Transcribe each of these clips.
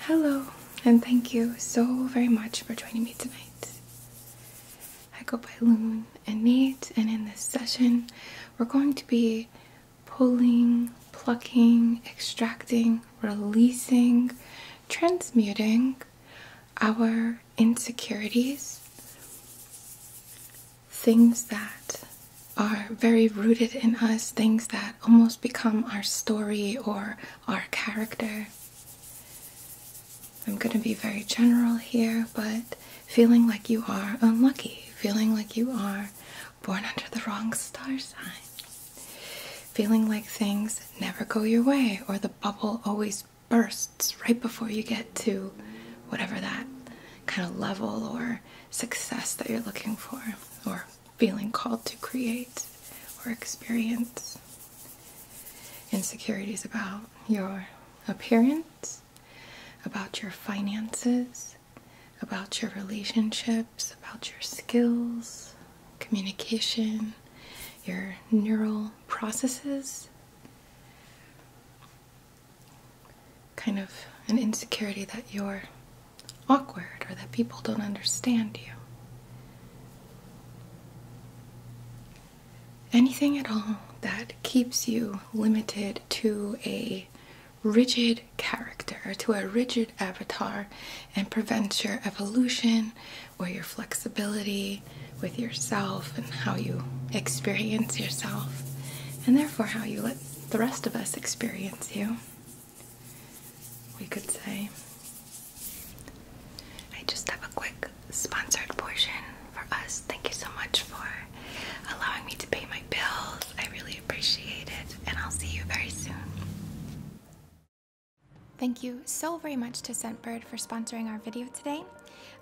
Hello, and thank you so very much for joining me tonight. I go by Loon and Nate, and in this session, we're going to be pulling, plucking, extracting, releasing, transmuting our insecurities things that are very rooted in us, things that almost become our story or our character. I'm going to be very general here, but feeling like you are unlucky, feeling like you are born under the wrong star sign, feeling like things never go your way or the bubble always bursts right before you get to whatever that kind of level or success that you're looking for or feeling called to create or experience. Insecurities about your appearance, about your finances, about your relationships, about your skills, communication, your neural processes kind of an insecurity that you're awkward or that people don't understand you. Anything at all that keeps you limited to a rigid character, to a rigid avatar, and prevents your evolution or your flexibility with yourself and how you experience yourself, and therefore how you let the rest of us experience you. We could say, I just have a quick sponsored portion for us. Thank you so much for allowing me to pay my bills. I really appreciate it, and I'll see you very soon. Thank you so very much to Scentbird for sponsoring our video today.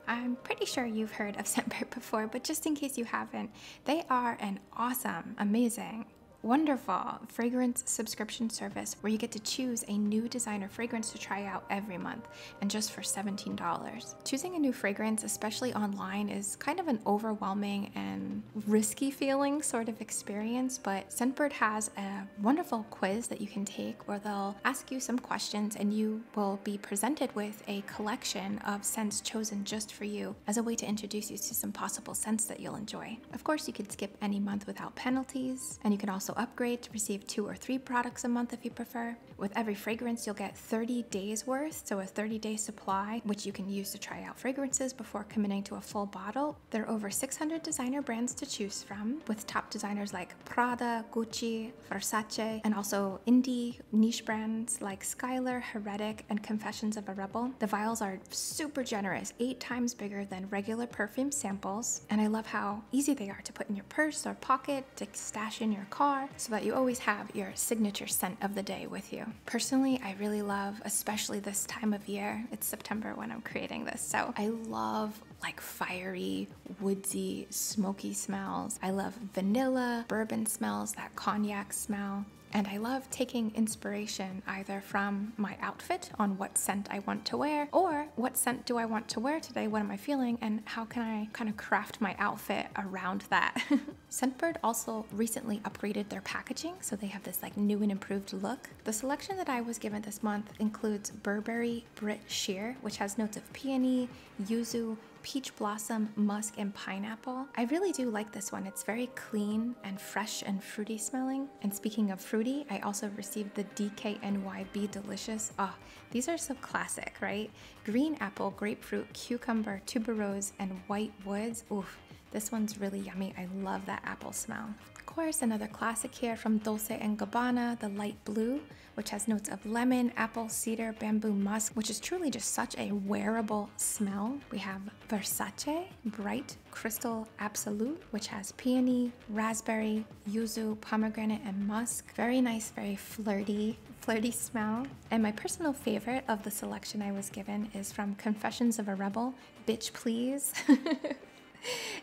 I'm pretty sure you've heard of Scentbird before, but just in case you haven't, they are an awesome, amazing, wonderful fragrance subscription service where you get to choose a new designer fragrance to try out every month and just for $17. Choosing a new fragrance, especially online, is kind of an overwhelming and risky feeling sort of experience, but Scentbird has a wonderful quiz that you can take where they'll ask you some questions and you will be presented with a collection of scents chosen just for you as a way to introduce you to some possible scents that you'll enjoy. Of course, you could skip any month without penalties, and you can also upgrade to receive two or three products a month if you prefer. With every fragrance, you'll get 30 days worth, so a 30 day supply, which you can use to try out fragrances before committing to a full bottle. There are over 600 designer brands to choose from, with top designers like Prada, Gucci, Versace, and also indie niche brands like Skylar, Heretic, and Confessions of a Rebel. The vials are super generous, eight times bigger than regular perfume samples, and I love how easy they are to put in your purse or pocket, to stash in your car, so that you always have your signature scent of the day with you. Personally, I really love, especially this time of year, it's September when I'm creating this, so I love like fiery woodsy, smoky smells. I love vanilla, bourbon smells, that cognac smell. And I love taking inspiration either from my outfit on what scent I want to wear or what scent do I want to wear today, what am I feeling, and how can I kind of craft my outfit around that. Scentbird also recently upgraded their packaging, so they have this like new and improved look. The selection that I was given this month includes Burberry Brit Sheer, which has notes of peony, yuzu, peach blossom, musk, and pineapple. I really do like this one. It's very clean and fresh and fruity smelling. And speaking of fruity, I also received the DKNYB Delicious. Oh, these are so classic, right? Green apple, grapefruit, cucumber, tuberose, and white woods. Oof, this one's really yummy. I love that apple smell. Of course, another classic here from Dolce & Gabbana, the light blue which has notes of lemon, apple, cedar, bamboo musk, which is truly just such a wearable smell. We have Versace Bright Crystal Absolute, which has peony, raspberry, yuzu, pomegranate, and musk. Very nice, very flirty, flirty smell. And my personal favorite of the selection I was given is from Confessions of a Rebel, Bitch Please.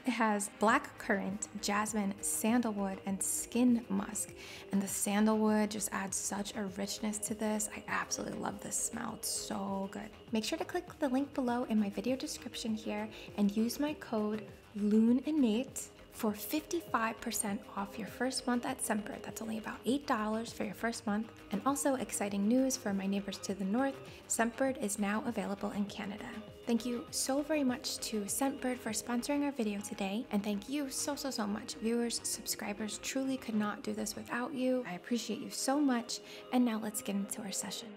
It has black currant, jasmine, sandalwood, and skin musk and the sandalwood just adds such a richness to this. I absolutely love this smell. It's so good. Make sure to click the link below in my video description here and use my code Loon and LOONINNATE for 55% off your first month at Semper. That's only about $8 for your first month. And also exciting news for my neighbors to the north, Scentbird is now available in Canada. Thank you so very much to Scentbird for sponsoring our video today. And thank you so, so, so much. Viewers, subscribers truly could not do this without you. I appreciate you so much. And now let's get into our session.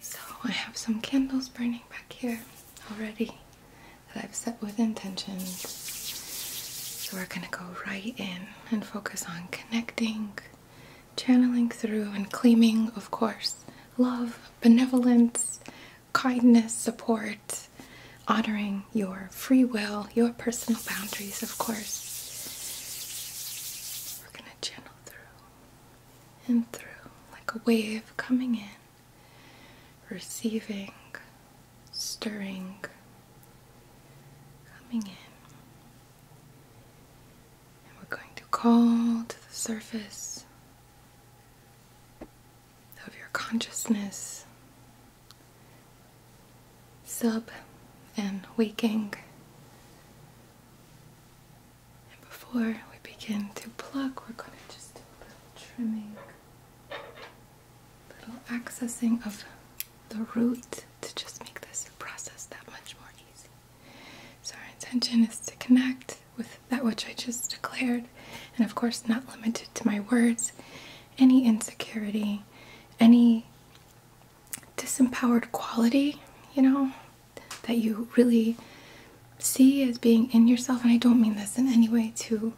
So I have some candles burning back here already that I've set with intentions. So we're gonna go right in and focus on connecting channeling through and claiming, of course, love, benevolence, kindness, support, honoring your free will, your personal boundaries, of course. We're going to channel through and through like a wave coming in, receiving, stirring, coming in. And we're going to call to the surface of your consciousness, sub and waking. And before we begin to pluck, we're going to just do a little trimming, little accessing of the root to just make this process that much more easy. So our intention is to connect with that which I just declared, and of course, not limited to my words, any insecurity, any disempowered quality, you know, that you really see as being in yourself. And I don't mean this in any way to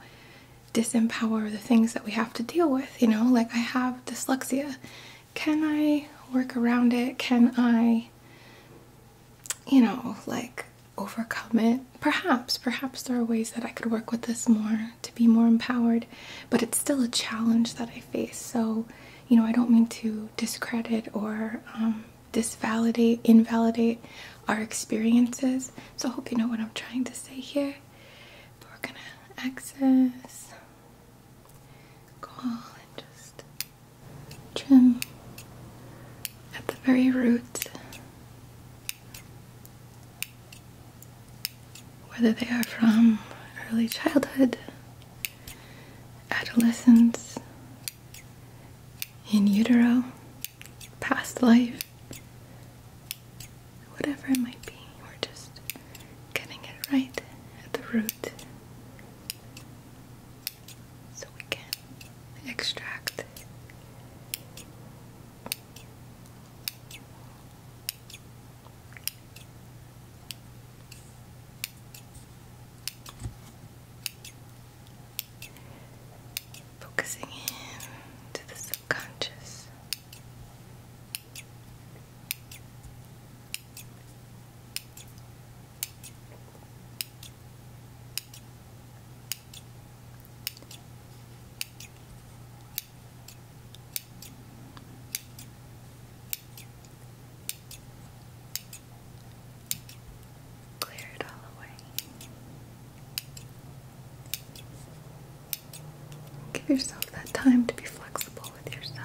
disempower the things that we have to deal with, you know, like I have dyslexia. Can I work around it? Can I you know, like overcome it. Perhaps, perhaps there are ways that I could work with this more to be more empowered, but it's still a challenge that I face. So, you know, I don't mean to discredit or um, disvalidate, invalidate our experiences. So, hope you know what I'm trying to say here. But we're gonna access, call, and trim at the very root, whether they are from early childhood, adolescence, in utero, past life, whatever it might be, we're just getting it right at the root so we can extract focusing in to the subconscious Clear it all away. Give yourself that time to be flexible with yourself.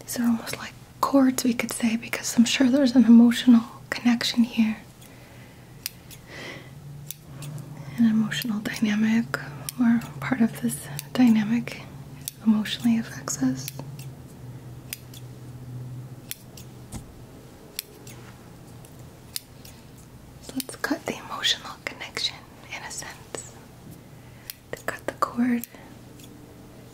These are almost like chords, we could say, because I'm sure there's an emotional connection here, an emotional dynamic, or part of this dynamic emotionally affects us. let's cut the emotional connection in a sense. To cut the cord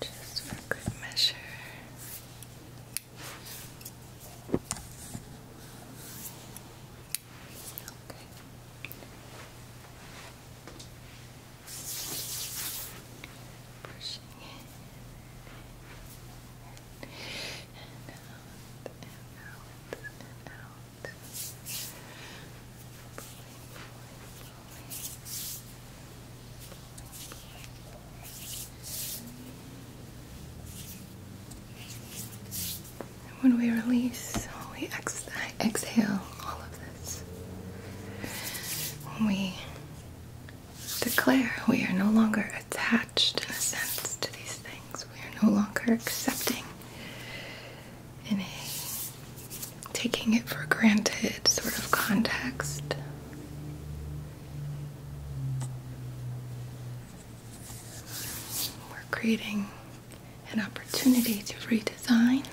just for good measure. Okay. Pushing in and out and out out when we release, we exhale all of this. When we declare we are no longer attached, in a sense, to these things, we are no longer accepting any taking it for granted sort of context. We're creating an opportunity to redesign,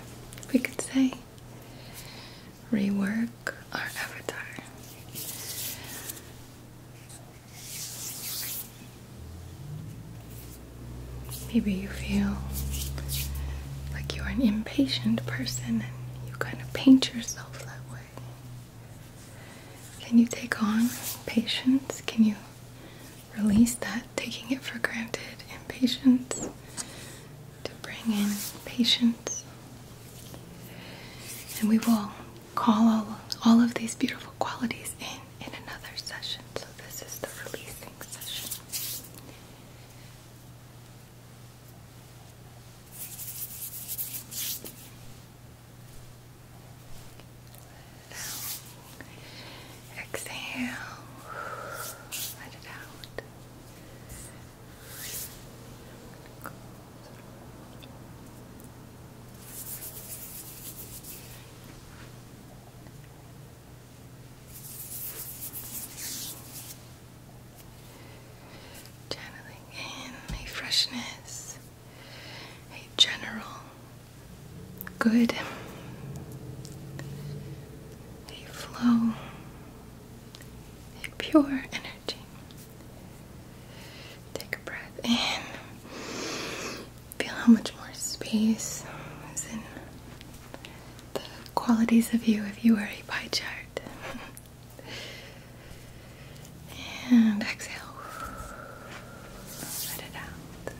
we could say, rework our avatar. Maybe you feel like you're an impatient person you kind of paint yourself that way. Can you take on patience? Can you release that, taking it for granted, impatience? To bring in patience. And we will call all, all of these beautiful qualities in in another session. So, this is the releasing session exhale, let it out. Channeling in a freshness, a general good, a flow, a pure energy. Take a breath in. Feel how much more space is in the qualities of you if you were a pie chart. and exhale. Let it out.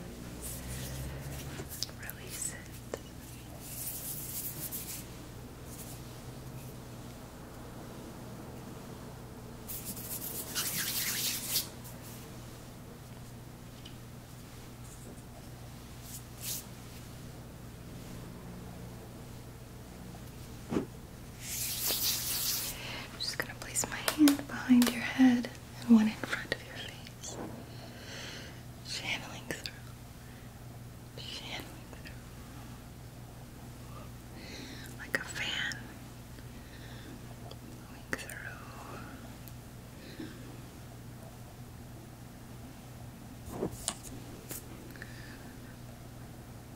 Release it. I'm just going to place my hand behind your head and one in front of your face. Channeling through. Channeling through. Like a fan. through.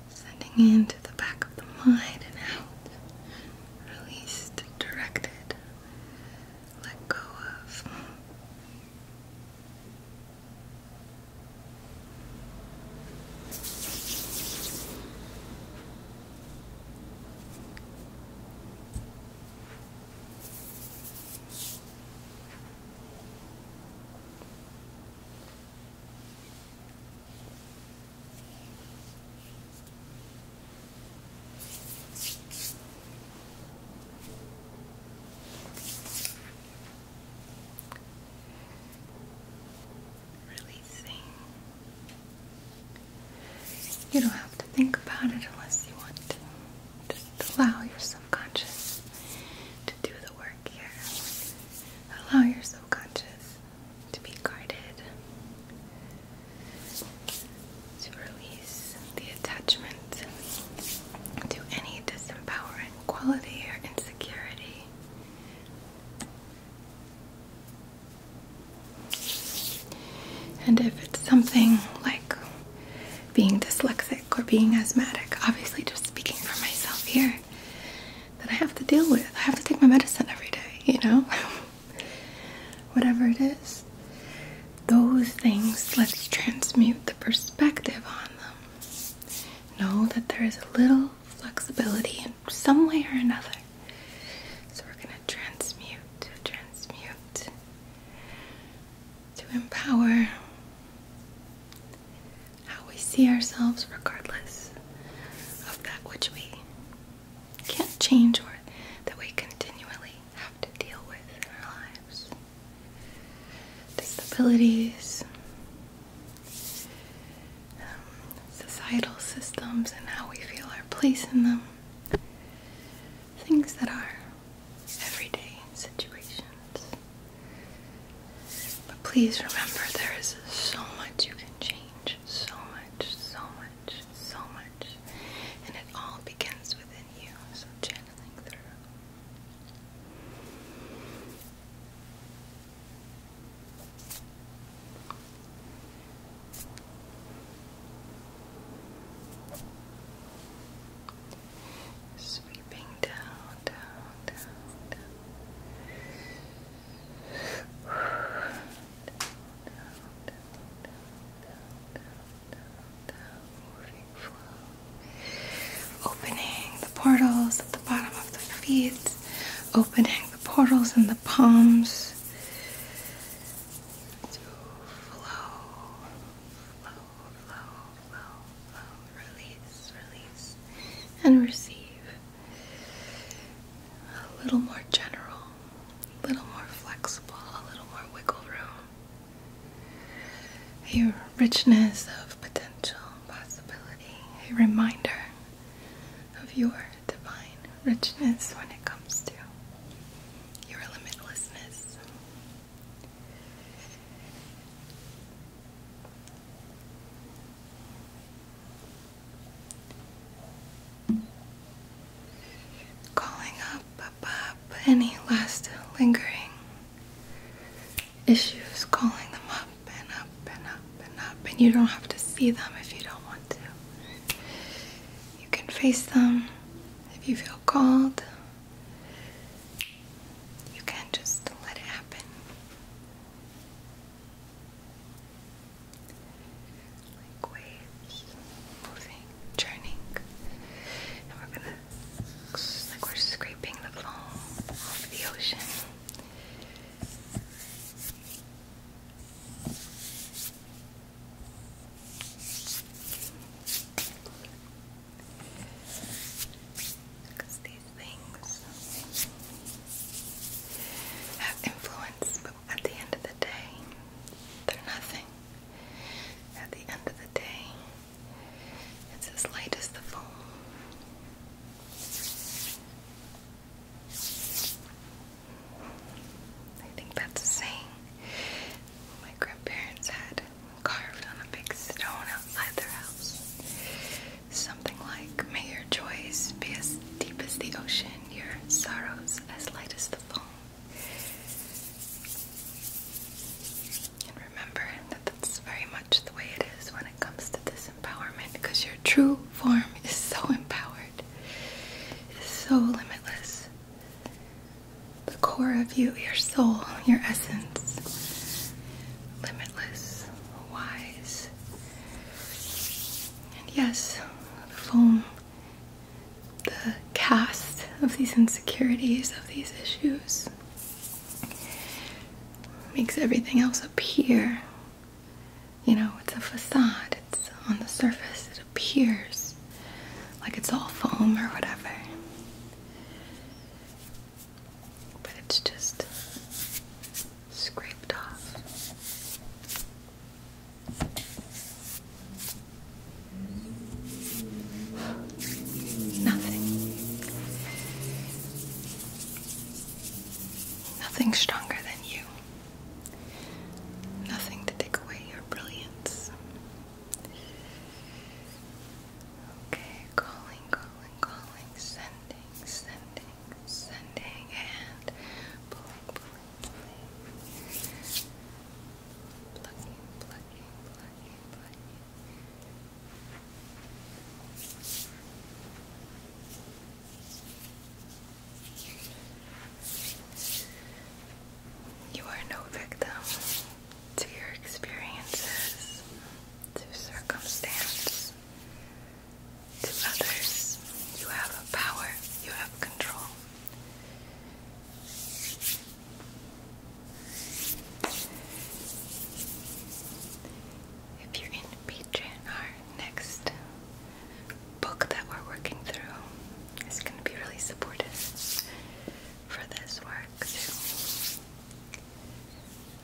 Sending into the back of the mind and out. Released, directed. Let go of. Releasing. You don't have to think about it unless you want just allow your subconscious to do the work here. Allow your subconscious to be guided, to release the attachment to any disempowering quality or insecurity. And if it's something like being dyslexic or being asthmatic. Obviously, just speaking for myself here, that I have to deal with. I have to take my medicine every day, you know? Whatever it is. Those things, let's transmute the perspective on them. Know that there is a little flexibility in some way or another. So we're going to transmute, transmute, to empower how we see ourselves, regardless of that which we can't change or that we continually have to deal with in our lives. Disabilities, um, societal systems, and how we feel our place in them. Things that are everyday situations. But please remember there is so much you can change. So much, so much, so much. And it all begins within you. So channeling through. Sweeping down, down, down, down. down, down, down, down, down, down, down. Moving flow. Opening the portals at the bottom of the feet. Opening the portals in the palms. To flow, flow, Release, release, and receive. A little more general, a little more flexible, a little more wiggle room. A richness of potential possibility, a reminder of your divine richness when it comes to your limitlessness. Calling up above any last lingering issues, calling them up and up and up and up, and you don't have to see them if you don't want to. You can face them if you feel called, you can't just let it happen. Like waves moving, churning. And we're gonna, like we're scraping the foam off the ocean. Because these things have influence, but at the end of the day, they're nothing. At the end of the day, it's as light as the foam. I think that's a saying my grandparents had carved on a big stone outside their house. Something like, May your joys be as deep as the ocean, your sorrows as light as the foam. And remember that that's very much the way it is when it comes to this empowerment because your true form is so empowered, it is so limitless. The core of you, your soul, your essence limitless, wise. And yes, the foam, the cast of these insecurities, of these issues, makes everything else appear. You know, it's a facade, it's on the surface, it appears like it's all foam or whatever but it's just scraped off. Nothing. Nothing stronger than you. Nothing to take away your brilliance. Okay, calling, calling, calling, sending, sending, sending, and pulling, pulling, pulling. Plucking, plucking, plucking, plucking. You are no victim to your experiences, to circumstance, to others. You have a power, you have control. If you're in Patreon, next book that we're working through is going to be really supportive for this work too.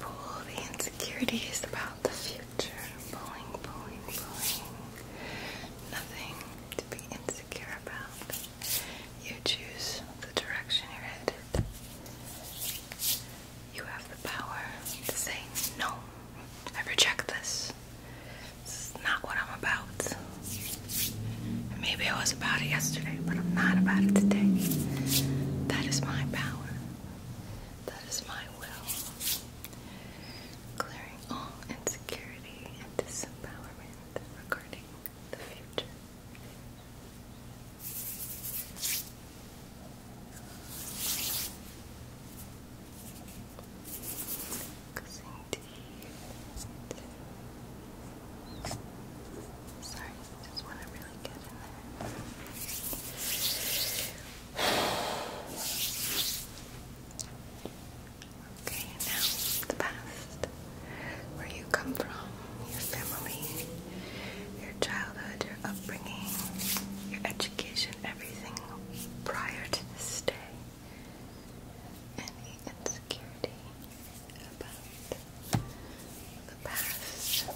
Pull the insecurities about the future. Pulling, pulling, pulling. Nothing to be insecure about. You choose the direction you're headed. You have the power to say, No, I reject this. This is not what I'm about. maybe I was about it yesterday, but I'm not about it today. That is my power. That is my will. Clearing all insecurity and disempowerment regarding the future. Cussing teeth. just want to really get in there. Okay, now the past. Where you come from, your family, your childhood, your upbringing, your education, everything prior to this day. Any insecurity about the past.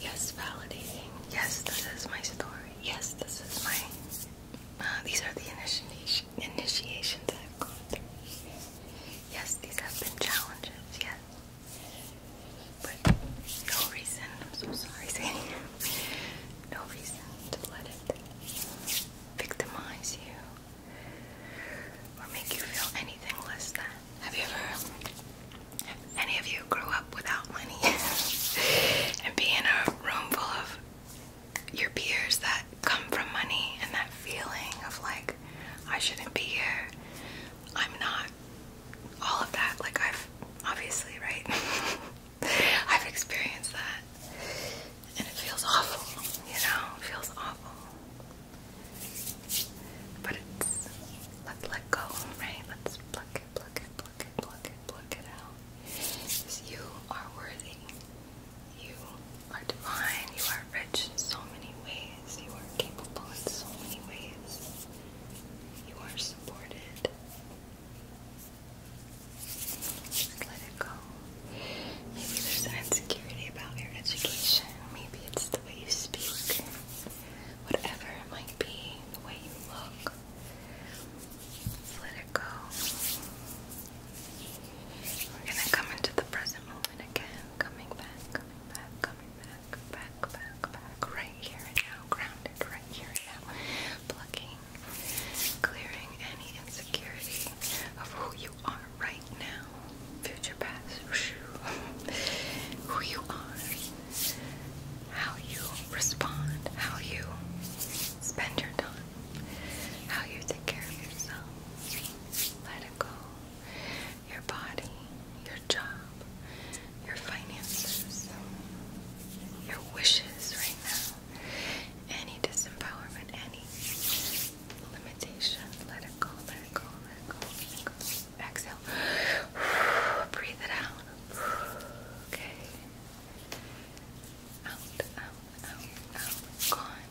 Yes, validating. Yes, this is my story. Yes, this is my. Uh, these are the initiation initiations I've gone through. Yes, these have been challenges. Yes, but no reason. I'm so sorry, Sandy. no reason to let it victimize you or make you feel anything less than. Have you ever, have any of you grew up without money and be in a room full of your peers that come from money and that feeling of like, I shouldn't be here, I'm not, all of that? Like, I've obviously, right? I've experienced that. And it feels awful, you know? It feels awful. But it's let's let go, right? Let's pluck it, pluck it, pluck it, pluck it, pluck it out. Because you are worthy. You are divine. You are rich in so many ways. You are capable in so many ways. You are supported. Just let it go. Maybe there's an insecurity about your education. Maybe it's the way you speak. Whatever it might be, the way you look. Let it go. We're gonna come into the present moment again. Coming back, coming back, coming back, back, back, back. Right here now. Grounded right here now. Plucking, clearing any insecurity of who are right now, future past, who you are, how you respond, how you spend your time, how you take care of yourself. Let it go. Your body, your job, your finances, your wishes right now, any disempowerment, any limitations. Let it go, let it go, let it go, let it go. Exhale. Breathe it out. Okay. Out, out, out, out. Gone.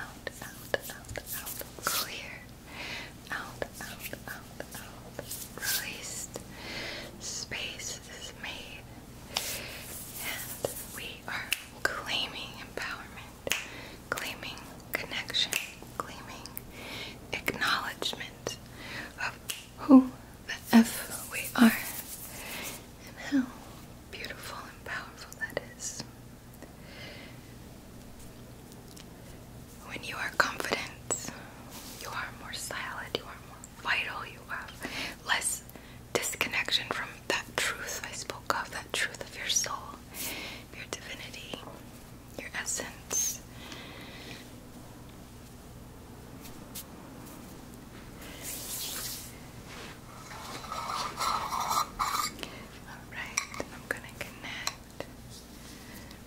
Out, out, out, out. Clear. Out, out, out, out. Released. Space is made. And we are claiming empowerment claiming connection, claiming acknowledgement of who the F we are and how beautiful and powerful that is. When you are confident, you are more solid, you are more vital, you have less disconnection from that truth, I spoke of, that truth of your soul, your divinity, your essence. Alright, I'm gonna connect.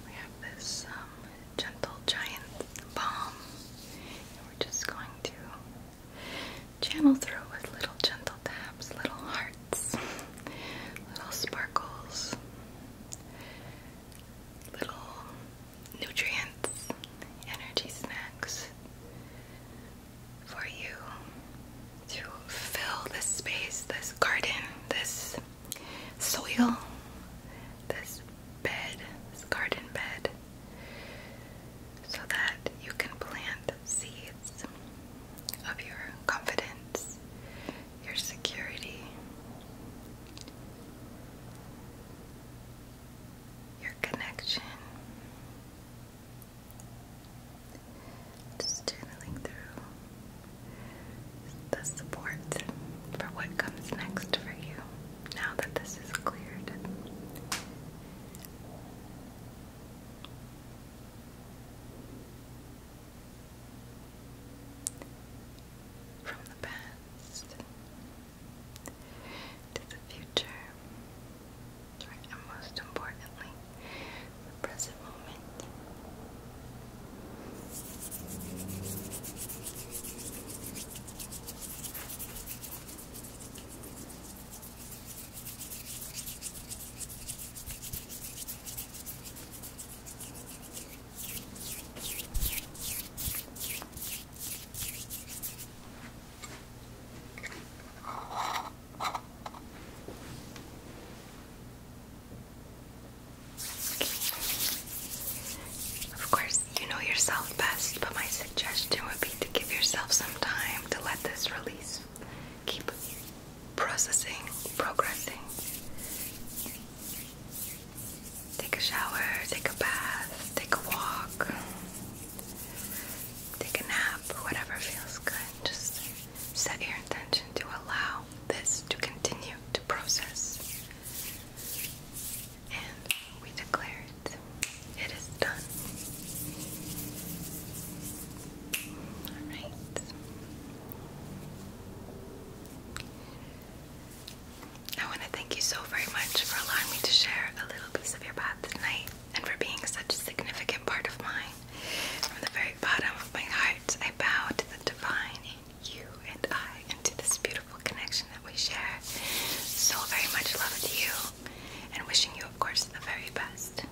We have this um, gentle giant balm, and we're just going to channel through with little gentle taps, little heart little sparkles, little nutrients, energy snacks for you to fill this space, this garden, this soil, this bed, this garden bed, so that you can plant seeds of your confidence, your security, your connection. Just channeling through the support for what comes next for you now that this is cleared. From the past to the future, and most importantly, the present moment. Of course, you know yourself best, but my suggestion would be to give yourself some time to let this release. Keep processing, progressing. Take a shower, take a bath, take a walk, take a nap, whatever feels good. Just set your intention to allow this to continue to process. And we declare it. It is done. Alright. I want to thank you so very much for allowing me to share a little piece of your path tonight and for being such a significant part of mine. From the very bottom of my heart, I bow to the divine in you and I and to this beautiful connection that we share. So very much love to you and wishing you, of course, the very best.